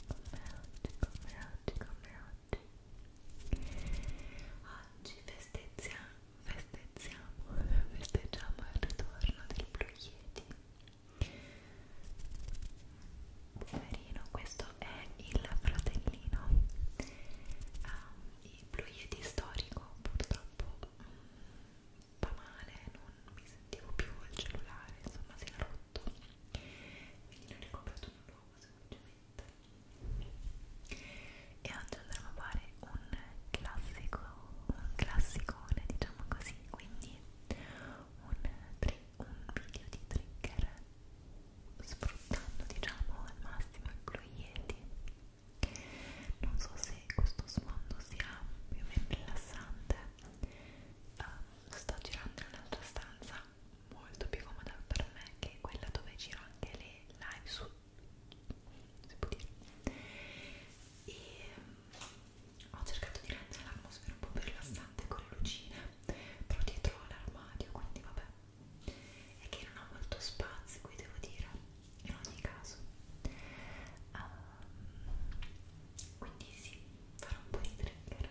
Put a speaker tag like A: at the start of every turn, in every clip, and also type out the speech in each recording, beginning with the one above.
A: oggi, come oggi, come oggi oggi festeggiamo, festeggiamo, festeggiamo il ritorno del Blue Yeti poverino, questo è il fratellino um, il Blue Yeti storico purtroppo mm, fa male, non mi sentivo più il cellulare, insomma si era rotto quindi ne ho ricomprato un nuovo semplicemente e oggi andremo a fare un classico, un classicone diciamo così, quindi un, un video di trigger sfruttando diciamo al massimo i cloietti non so se questo sfondo sia più o meno rilassante uh, sto girando in un'altra stanza molto più comoda per me che quella dove giro anche le live su si può dire e um, ho cercato di rendere l'atmosfera un po' più rilassante con le lucine però dietro l'armadio
B: quindi vabbè è che non ho molto spazio qui devo dire in ogni caso um, quindi sì, farò un po' di trigger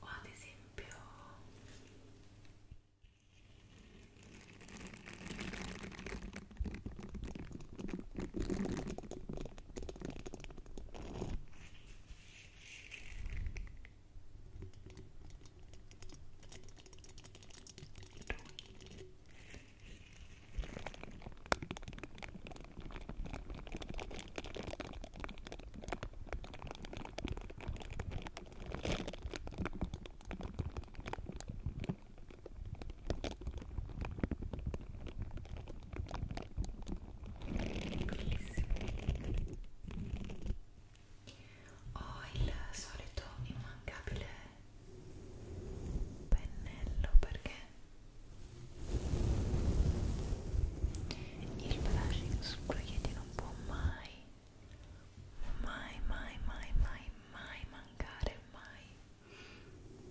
B: o ad esempio Lui. Ho il solito
C: immancabile pennello perché il brushing sul proiettile non può mai mai mai mai mai mai mancare mai ok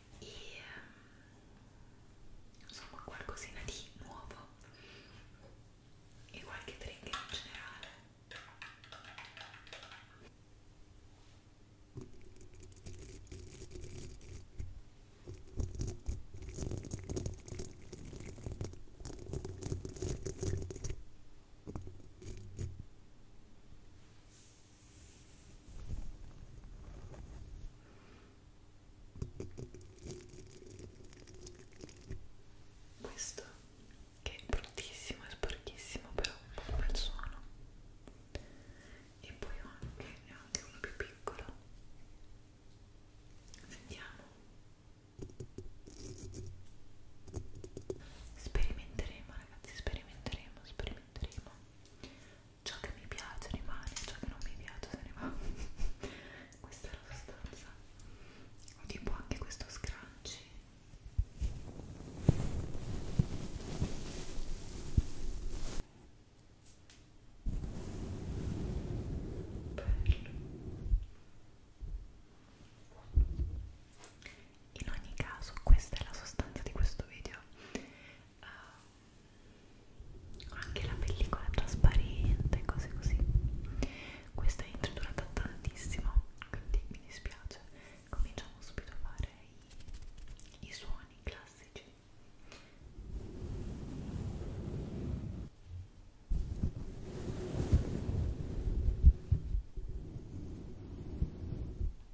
C: e ehm, insomma qualcosina di nuovo e qualche drink in generale questo che è bruttissimo e sporchissimo però è un bel suono e poi ho anche, ne ho anche uno più piccolo sentiamo sperimenteremo ragazzi sperimenteremo sperimenteremo ciò che mi piace rimane, ciò che non mi piace se ne va. Questa è la sostanza. Tipo anche questo scrunchie. Bello. In ogni caso, questa è la sostanza di questo video uh, anche la pellicola trasparente cose così questa intro è durata tantissimo quindi mi dispiace cominciamo subito a fare i, i suoni classici ok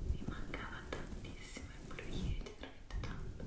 C: Mi mancava tantissimo il blu ieri dietro il top. Ora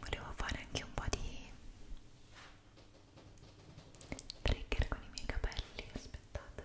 D: Volevo fare anche un po' di trigger con i miei capelli, aspettate.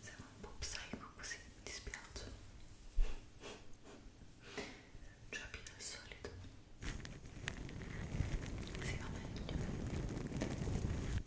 D: Siamo un po' psycho così, mi dispiace. Cioè più del solito. Si va meglio. Io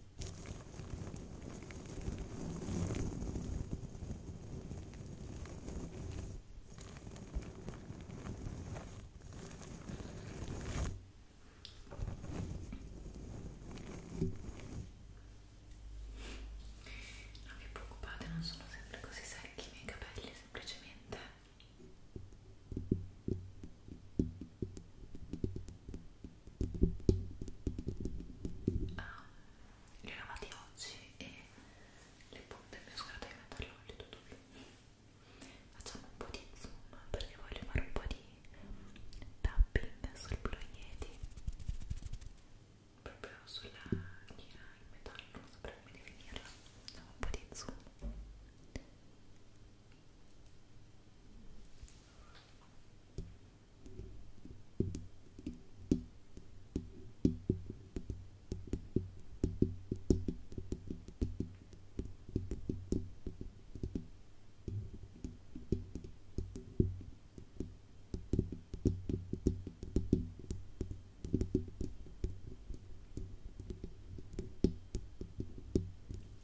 E: Non vi preoccupate, non sono sempre così secchi i miei capelli, semplicemente ah, li ho lavati oggi e le punte mi ho scordato di metterle olio tutto blu facciamo un po' di zoom perché voglio fare un po' di tapping sul blu Yeti proprio sulla linea in metallo non saprei come definirla facciamo un po' di zoom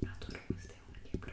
E: Adoro queste unghie blu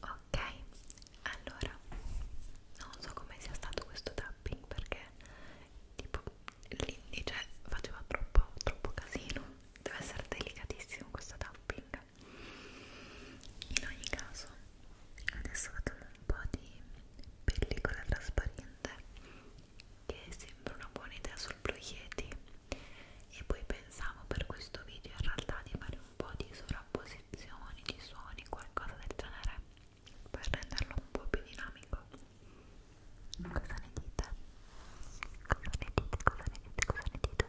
B: Ok, allora non so come sia stato questo tapping perché tipo l'indice cioè, faceva troppo, troppo casino. Deve essere delicatissimo questo tapping. In ogni caso, adesso facciamo un po' di pellicola trasparente domande che sembra una buona idea sul Blue Yeti e poi pensavo per questo video in realtà di fare un po' di sovrapposizioni di suoni, qualcosa del genere per renderlo un po' più dinamico cosa ne dite? cosa ne dite? cosa ne dite? cosa ne dite?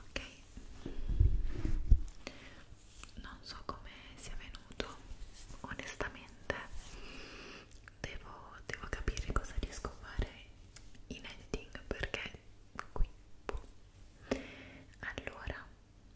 B: ok non so come sia venuto onestamente devo, devo capire cosa riesco a fare in editing perché qui boh. allora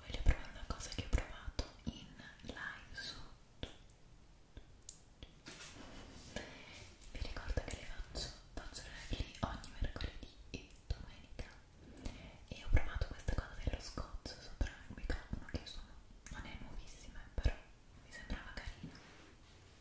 C: Voglio provare una cosa che ho provato in live su vi ricordo che le faccio, faccio live lì ogni mercoledì e domenica e ho provato questa cosa dello scotch sopra il microfono che sono, non è nuovissima però mi sembrava carina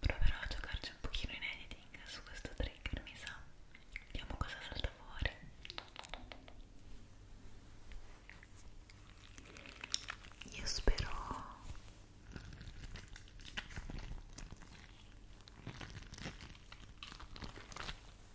C: Proverò a giocarci un pochino in editing su questo trigger, mi sa. Vediamo cosa salta fuori. Io spero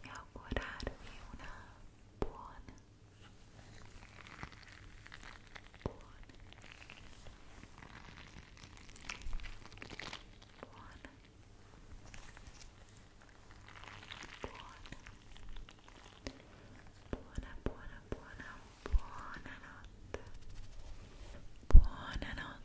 A: e augurarvi una buona buona buona buona buona buona buona buona notte buona notte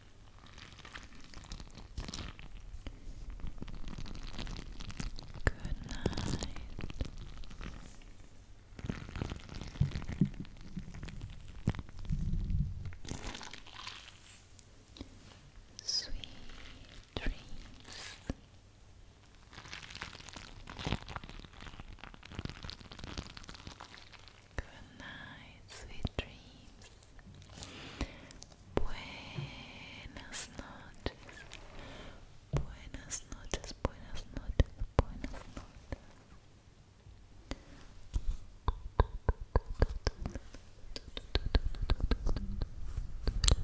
A: Good night. Sweet dreams. Good night, sweet dreams. Buenas noches. Buenas noches, buenas noches, buenas noches.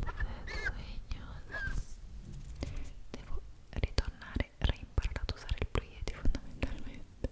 A: sueños. Devo ritornare, reimparare ad usar el Fundamentalmente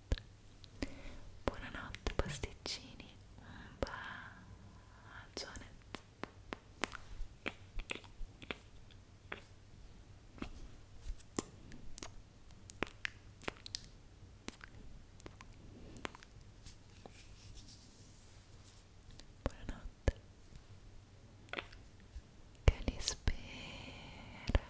A: Buonanotte pasticcini, un bacione. Buonanotte. Che li spera.